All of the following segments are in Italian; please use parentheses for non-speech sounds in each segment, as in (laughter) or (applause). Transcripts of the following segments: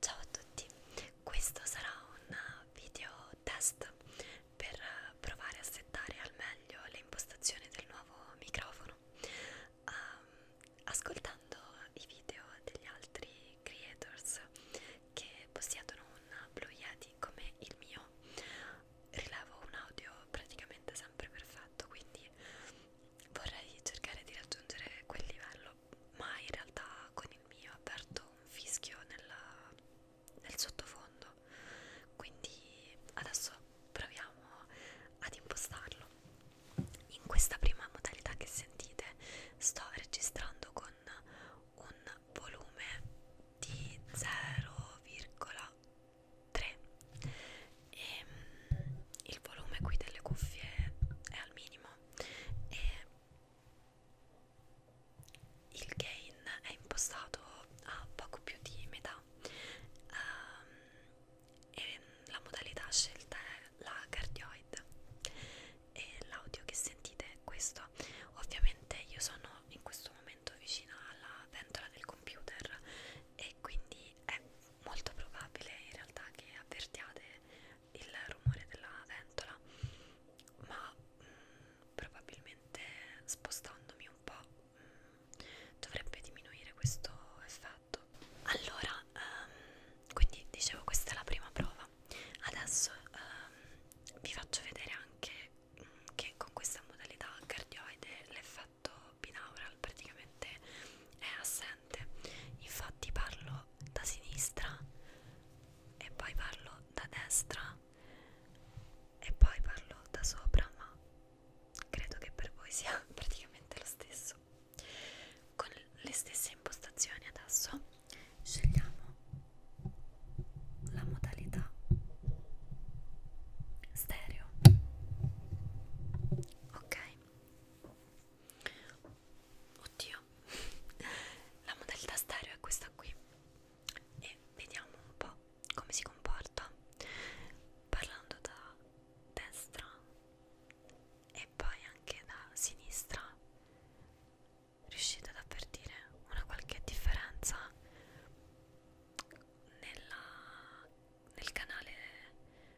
Ciao a tutti, questo sarà un video test per provare a settare al meglio le impostazioni del nuovo microfono. Um, ascoltando i video degli altri creators che possiedono un Blue Yeti quindi come il mio rilavo un audio praticamente sempre perfetto quindi vorrei cercare di raggiungere quel livello ma in realtà con il mio aperto un fischio nella, nel sottofondo quindi adesso proviamo ad impostarlo in questa prima modalità che sentite sto registrando con un volume di 0,3 e ehm, il volume qui delle cuffie è al minimo e il gain è impostato a poco più di metà um, e la modalità scelta è la cardioid e l'audio che sentite è questo ovviamente io sono in questo momento letto vicino alla ventola del computer e quindi è molto probabile in realtà che avvertiate il rumore della ventola ma mh, mm, probabilmente spostandomi un po' mh, mm, dovrebbe diminuire questo effetto allora um, quindi dicevo questa è la prima prova adesso um, vi faccio vedere anche che con questa modalità cardioide l'effetto binaural praticamente è assente infatti parlo da sinistra e poi parlo da destra e poi parlo da sopra ma credo che per voi sia (laughs) praticamente lo stesso con le stesse impostazioni adesso scegliamo la modalità stereo ok oddio la modalità stereo è questa qui e vediamo un po' come si comporta parlando da destra e poi anche da sinistra riuscite ad avvertire una qualche differenza nella, nel canale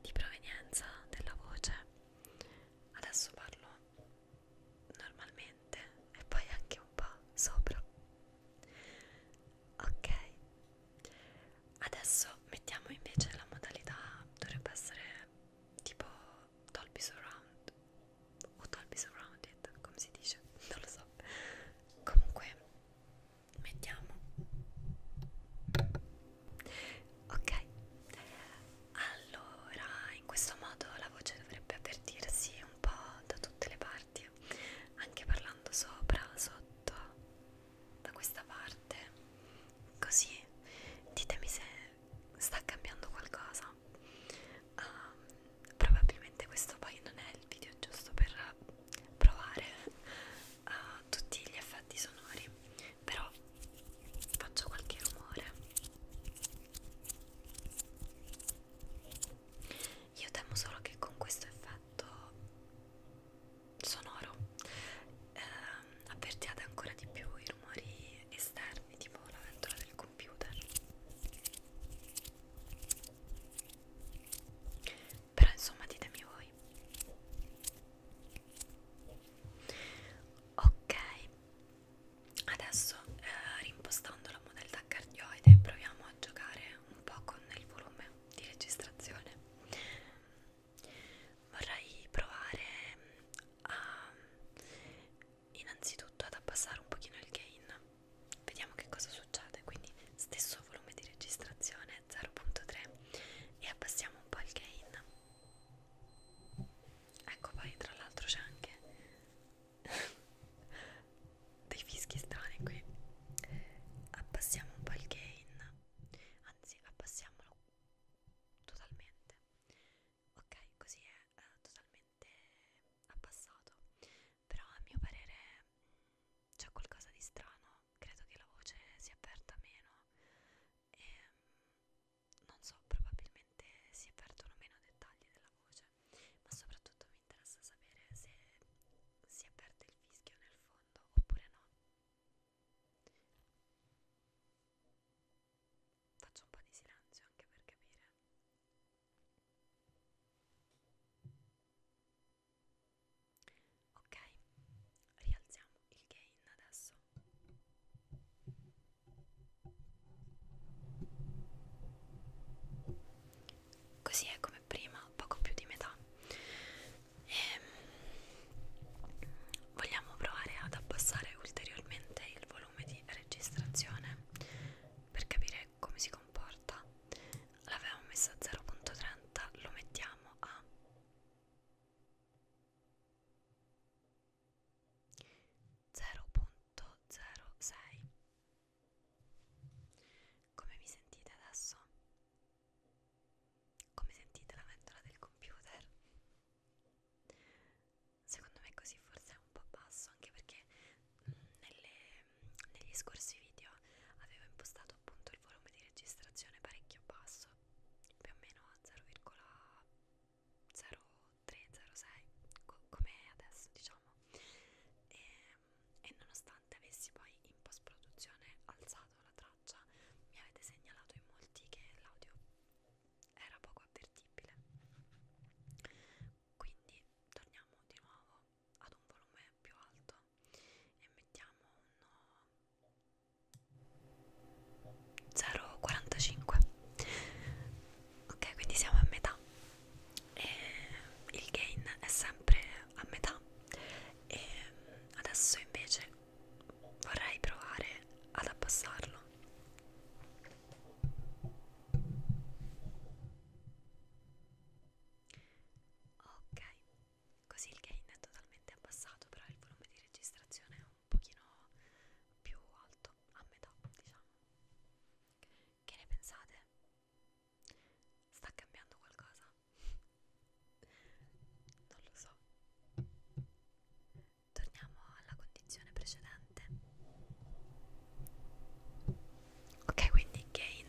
di provenienza della voce adesso parlo normalmente e poi anche un po' sopra ok adesso mettiamo invece la modalità dovrebbe essere tipo Dolby Surround o Dolby Surrounded come si dice (laughs) non lo so comunque mettiamo ok allora in questo modo la voce dovrebbe avvertirsi un po' da tutte le parti anche parlando sopra sotto da questa parte così ditemi se sta cambiando qualcosa um, probabilmente questo poi non è il video giusto per provare uh, tutti gli effetti sonori però faccio qualche rumore io temo solo che con questo effetto sonoro eh, avvertiate ancora di più i rumori esterni tipo la ventola del computer però insomma ditemi voi ok adesso eh, rimpostando la modalità cardioide proviamo a giocare un po' con il volume di registrazione vorrei provare mm, a innanzitutto ad abbassare un pochino il gain vediamo che cosa succede quindi stesso volume di registrazione 0.3 e abbassiamo un po' il gain ecco poi tra l'altro c'è anche (laughs) dei fischi strani qui abbassiamo un po' il gain anzi abbassiamolo totalmente ok così è uh, totalmente abbassato però a mio parere mm, c'è qualcosa di strano credo che la voce si avverta meno e ehm, non so probabilmente si avvertono meno dettagli della voce ma soprattutto mi interessa sapere se si avverte il fischio nel fondo oppure no faccio un po' di silenzio anche per capire ok rialziamo il gain adesso così è come prima poco più di metà e ehm, vogliamo provare ad abbassare ulteriormente il volume di registrazione per capire come si comporta l'avevamo messo a 0.30 lo mettiamo a 0.06 come vi sentite adesso? come sentite la ventola del computer? secondo me così forse è un po' basso anche perché nelle, negli scorsi video avevo impostato appunto il volume di registrazione parecchio basso più o meno a 0,0306 co come adesso diciamo e, ehm, e nonostante avessi poi in post produzione alzato la traccia mi avete segnalato in molti che l'audio era poco avvertibile quindi torniamo di nuovo ad un volume più alto e mettiamo un 0,45 ok quindi siamo a metà e il gain è sempre a metà e adesso invece vorrei provare ad abbassarlo ok così il gain è totalmente abbassato però il volume di registrazione è un pochino più alto a metà diciamo che ne pensate? sta cambiando qualcosa? (laughs) non lo so torniamo alla condizione precedente ok quindi gain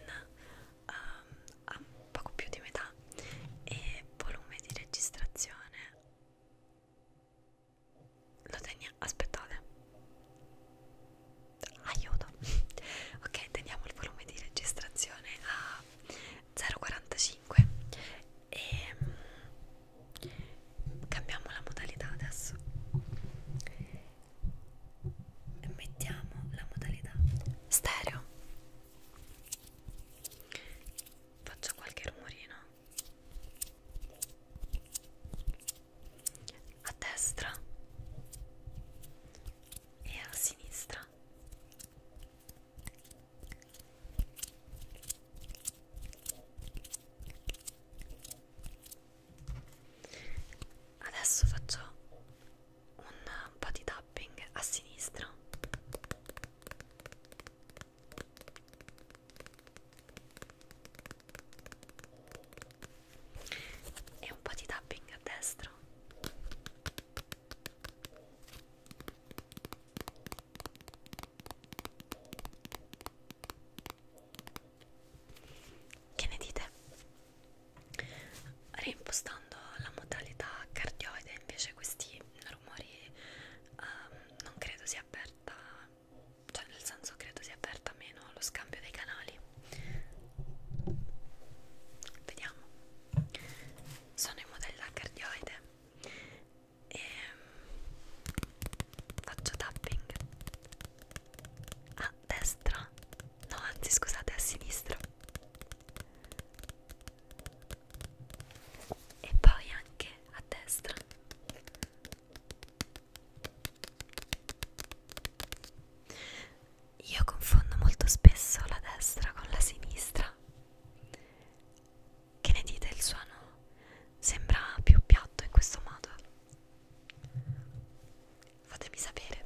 um, a poco più di metà e volume di registrazione lo teniamo aspettate aiuto (laughs) ok teniamo il volume di registrazione a 0,45 e ehm, cambiamo la modalità adesso mettiamo la modalità stereo faccio qualche rumorino a destra e a sinistra Adesso faccio un po' di tapping a sinistra. E un po' di tapping a destra. Che ne dite? Reimpostando la modalità cardioide invece questi rumori um, non credo sia aperta, cioè nel senso credo sia aperta meno lo scambio dei canali. Vediamo. Sono in modalità cardioide e ehm, faccio tapping a destra no anzi scusate a sinistra e poi anche a destra io confondo molto spesso la destra con la sinistra che ne dite? Il suono sembra più piatto in questo modo. Fatemi sapere.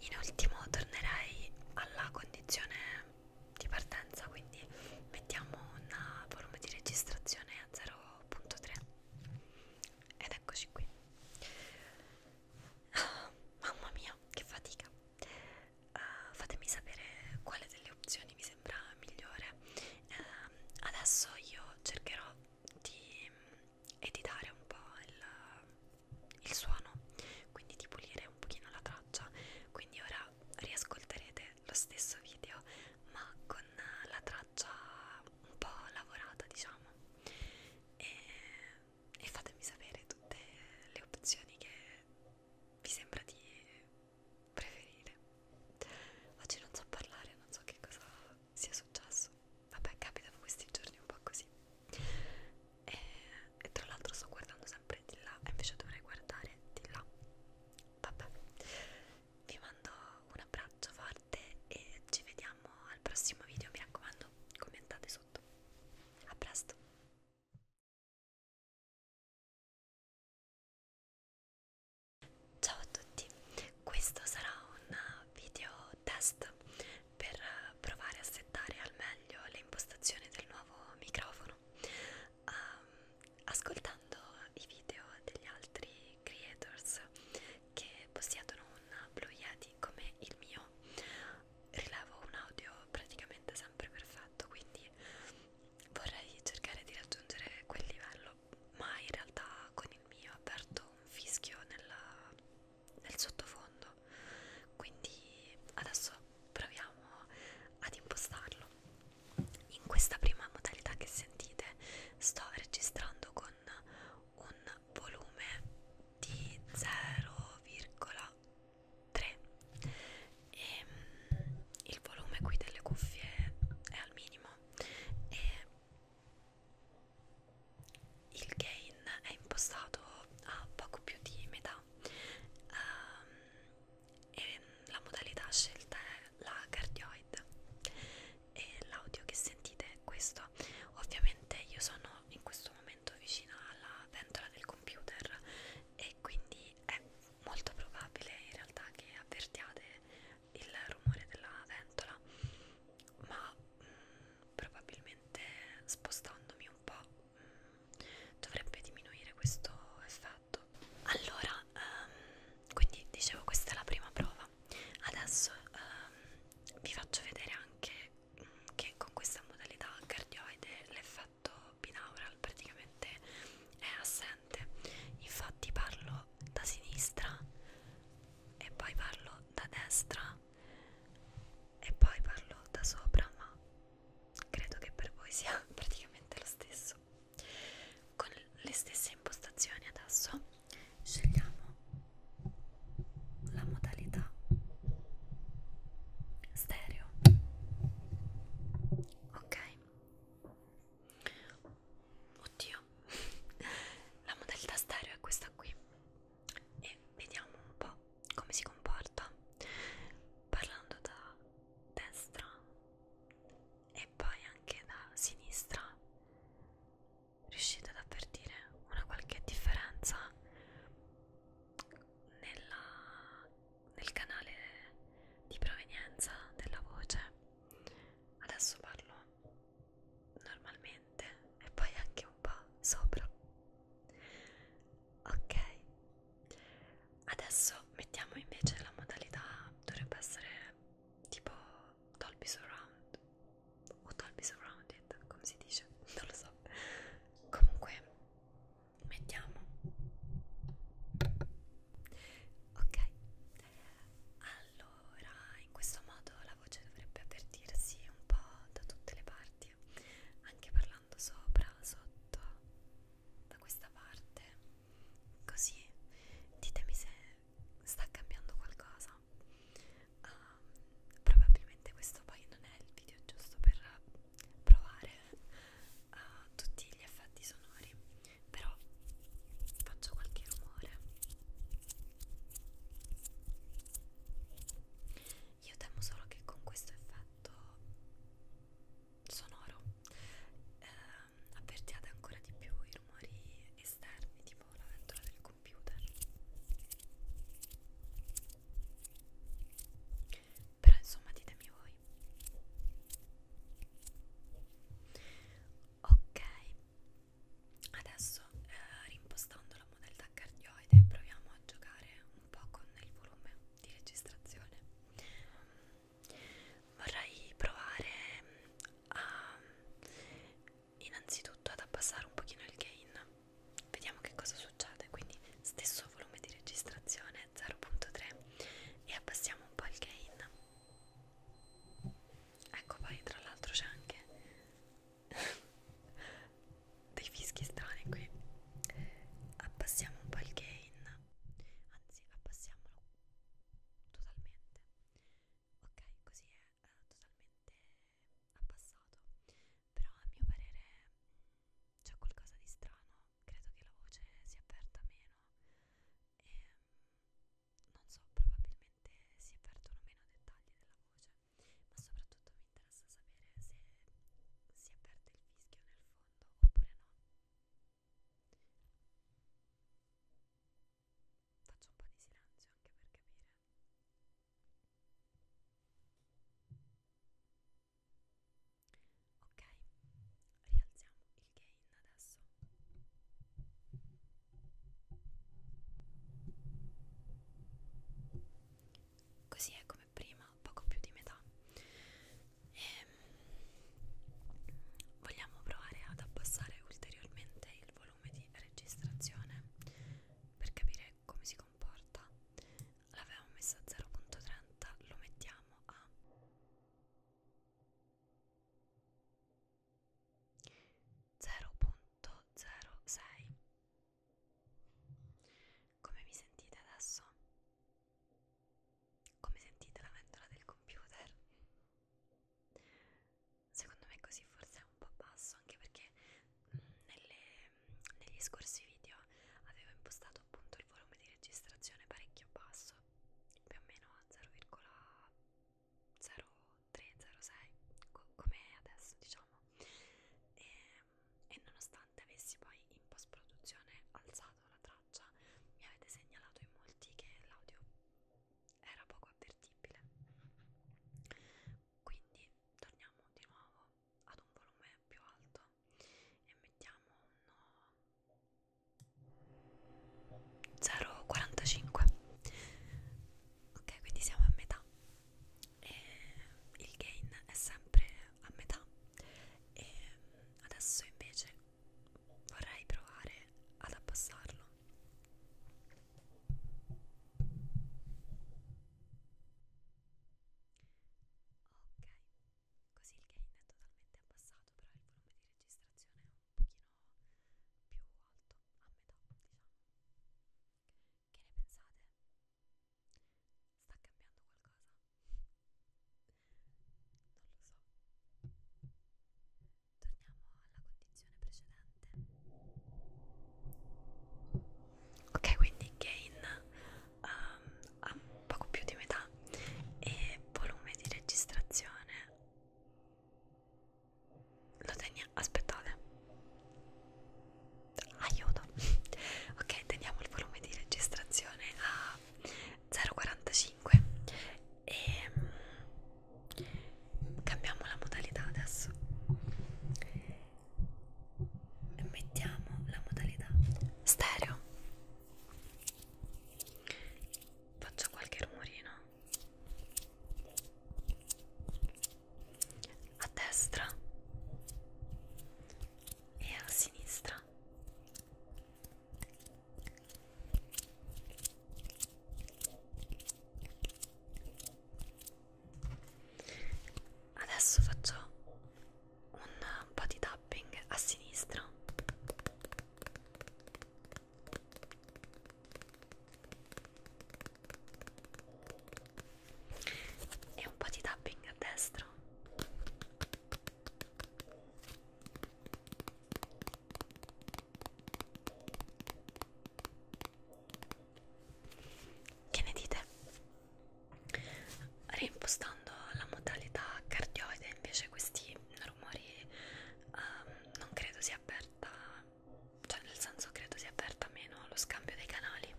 In ultimo tornerei alla condizione di partenza, quindi mettiamo un volume di registrazione a 0.3 ed eccoci qui. Ah, mamma mia, che fatica! uh, fatemi sapere quale delle opzioni vi sembra migliore uh, adesso io cercherò di mm, editare un po' il, il suono quindi di pulire un pochino la traccia quindi ora riascolterete lo stesso video ma con la traccia un po' lavorata diciamo e, e fatemi sapere tutte le opzioni che mi sembra di preferire. Oggi non so parlare, non so che cosa sia successo. Vabbè, capitano questi giorni un po' così. E, e tra l'altro sto guardando sempre di là, e invece dovrei guardare di là. Vabbè, vi mando un abbraccio forte e ci vediamo al prossimo video. Mi raccomando, commentate sotto. A presto! Ciao a tutti, questo sarà un video test per provare a settare al meglio le impostazioni del nuovo microfono. Um, ascoltando i video degli altri creators che possiedono un Blue Yeti come il mio, rilavo un audio praticamente sempre perfetto quindi vorrei cercare di raggiungere quel livello ma in realtà con il mio aperto un fischio nella, nel sottofondo quindi adesso proviamo ad impostarlo in questa prima modalità che sentite sto registrando con un volume di 0,1 3 e mm, il volume qui delle cuffie è al minimo e il gain è impostato a poco più di metà um, e la modalità scelta è la cardioid e l'audio che sentite è questo ovviamente io sono sono in questo momento vicino alla ventola del computer e quindi è molto probabile in realtà che avvertiate il rumore della ventola ma mh, mm, probabilmente spostandomi un po' mh, mm, dovrebbe diminuire questo effetto allora um, quindi dicevo questa è la prima prova adesso um, vi faccio vedere anche che con questa modalità cardioide l'effetto binaural praticamente è assente infatti parlo da sinistra e poi parlo da destra e poi parlo da sopra ma credo che per voi sia (laughs) praticamente lo stesso con le stesse impostazioni adesso scegliamo la modalità stereo ok oddio la modalità stereo è questa qui e vediamo un po' come si comporta parlando da destra e poi anche da sinistra riuscite ad avvertire una qualche differenza nella, nel canale di provenienza della voce adesso parlo normalmente e poi anche un po' sopra ok adesso mettiamo invece la modalità dovrebbe essere tipo Dolby Surround o Dolby Surrounded, come si dice, (laughs) non lo so. Comunque, mettiamo. Ok, allora in questo modo la voce dovrebbe avvertirsi un po' da tutte le parti, anche parlando sopra, sotto, da questa parte. Così ditemi se sta cambiando qualcosa um, probabilmente questo poi non è il video giusto per provare uh, tutti gli effetti sonori però faccio qualche rumore io temo solo che con questo effetto sonoro ehm, avvertiate ancora di più i rumori esterni tipo la ventola del computer però insomma ditemi voi ok adesso eh, rimpostando la modalità cardioide proviamo a giocare un po' con il volume di registrazione vorrei provare mm, a innanzitutto ad abbassare un pochino il gain vediamo che cosa succede quindi stesso volume di registrazione 0.3 e abbassiamo un po' il gain ecco poi tra l'altro c'è anche (laughs) dei fischi strani qui abbassiamo un po' il gain anzi abbassiamolo totalmente ok così è eh, totalmente abbassato però a mio parere mm, c'è qualcosa di strano credo che la voce si aperta meno e ehm, non so probabilmente si avvertono meno dettagli della voce ma soprattutto mi interessa sapere se si avverte il fischio nel fondo oppure no Faccio un po' di silenzio anche per capire. Ok, rialziamo il gain adesso. Così è come prima, poco più di metà. E ehm, vogliamo provare ad abbassare ulteriormente il volume di registrazione per capire come si comporta l'avevamo messo a 0.30 lo mettiamo a 0.06 come mi sentite adesso? come sentite la ventola del computer? Secondo me così forse è un po' basso, anche perché mm, nelle, mm, negli scorsi video avevo impostato appunto il volume di registrazione parecchio basso, più o meno a 0,0306 co come adesso diciamo, e, ehm, e nonostante avessi poi in post produzione alzato la traccia mi avete segnalato in molti che l'audio era poco avvertibile quindi torniamo di nuovo ad un volume più alto e mettiamo un 0,45 ok quindi siamo a metà e il gain è sempre a metà e adesso invece vorrei provare ad abbassarlo Ok, così il gain è totalmente abbassato, però il volume di registrazione è un pochino più alto, a metà diciamo. Che ne pensate? Sta cambiando qualcosa? Non lo so torniamo alla condizione precedente ok quindi gain um, a poco più di metà e volume di registrazione lo teniamo aspettate aiuto (laughs) ok teniamo il volume di registrazione a 0,45 e ehm, cambiamo la modalità adesso mettiamo la modalità stereo faccio qualche rumorino a destra e a sinistra Adesso faccio un, un po' di tapping a sinistra. E un po' di tapping a destra. Che ne dite? Reimpostando la modalità cardioide invece questi rumori um, non credo sia aperta, cioè nel senso credo sia aperta meno allo scambio dei canali.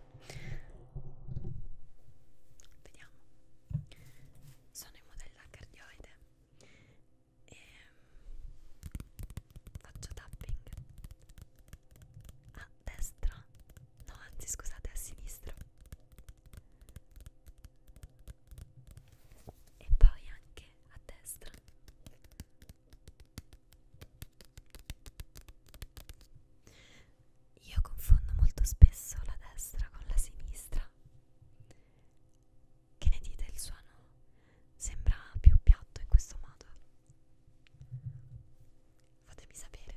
Vediamo. Sono in modalità cardioide e ehm, faccio tapping a destra no anzi scusate a sinistra e poi anche a destra io confondo molto spesso la destra con la sinistra che ne dite? Il suono sembra più piatto in questo modo. Fatemi sapere.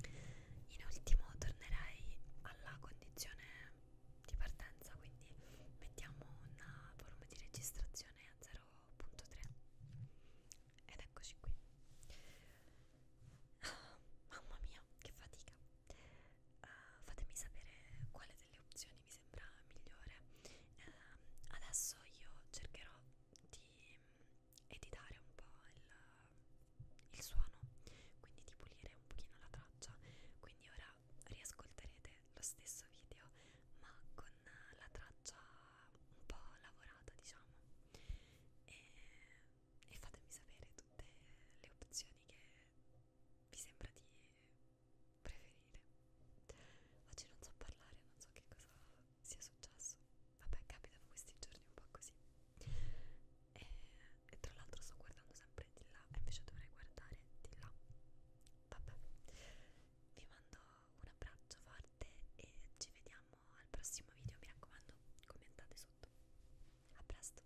In ultimo tornerei alla condizione di partenza, quindi mettiamo un volume di registrazione a 0.3 ed eccoci qui. Ah, mamma mia, che fatica! uh, fatemi sapere quale delle opzioni vi sembra migliore uh, adesso io cercherò di mm, editare un po' il, il suono quindi di pulire un pochino la traccia quindi ora riascolterete lo stesso video ma con la traccia un po' lavorata diciamo e, e fatemi sapere tutte le opzioni che vi sembra di preferire oggi non so parlare non so che cosa sia successo vabbè capita questi giorni un po' così e, e tra l'altro sto guardando sempre di là e invece dovrei guardare di là vabbè vi mando un abbraccio forte e ci vediamo al prossimo video mi raccomando commentate sotto a presto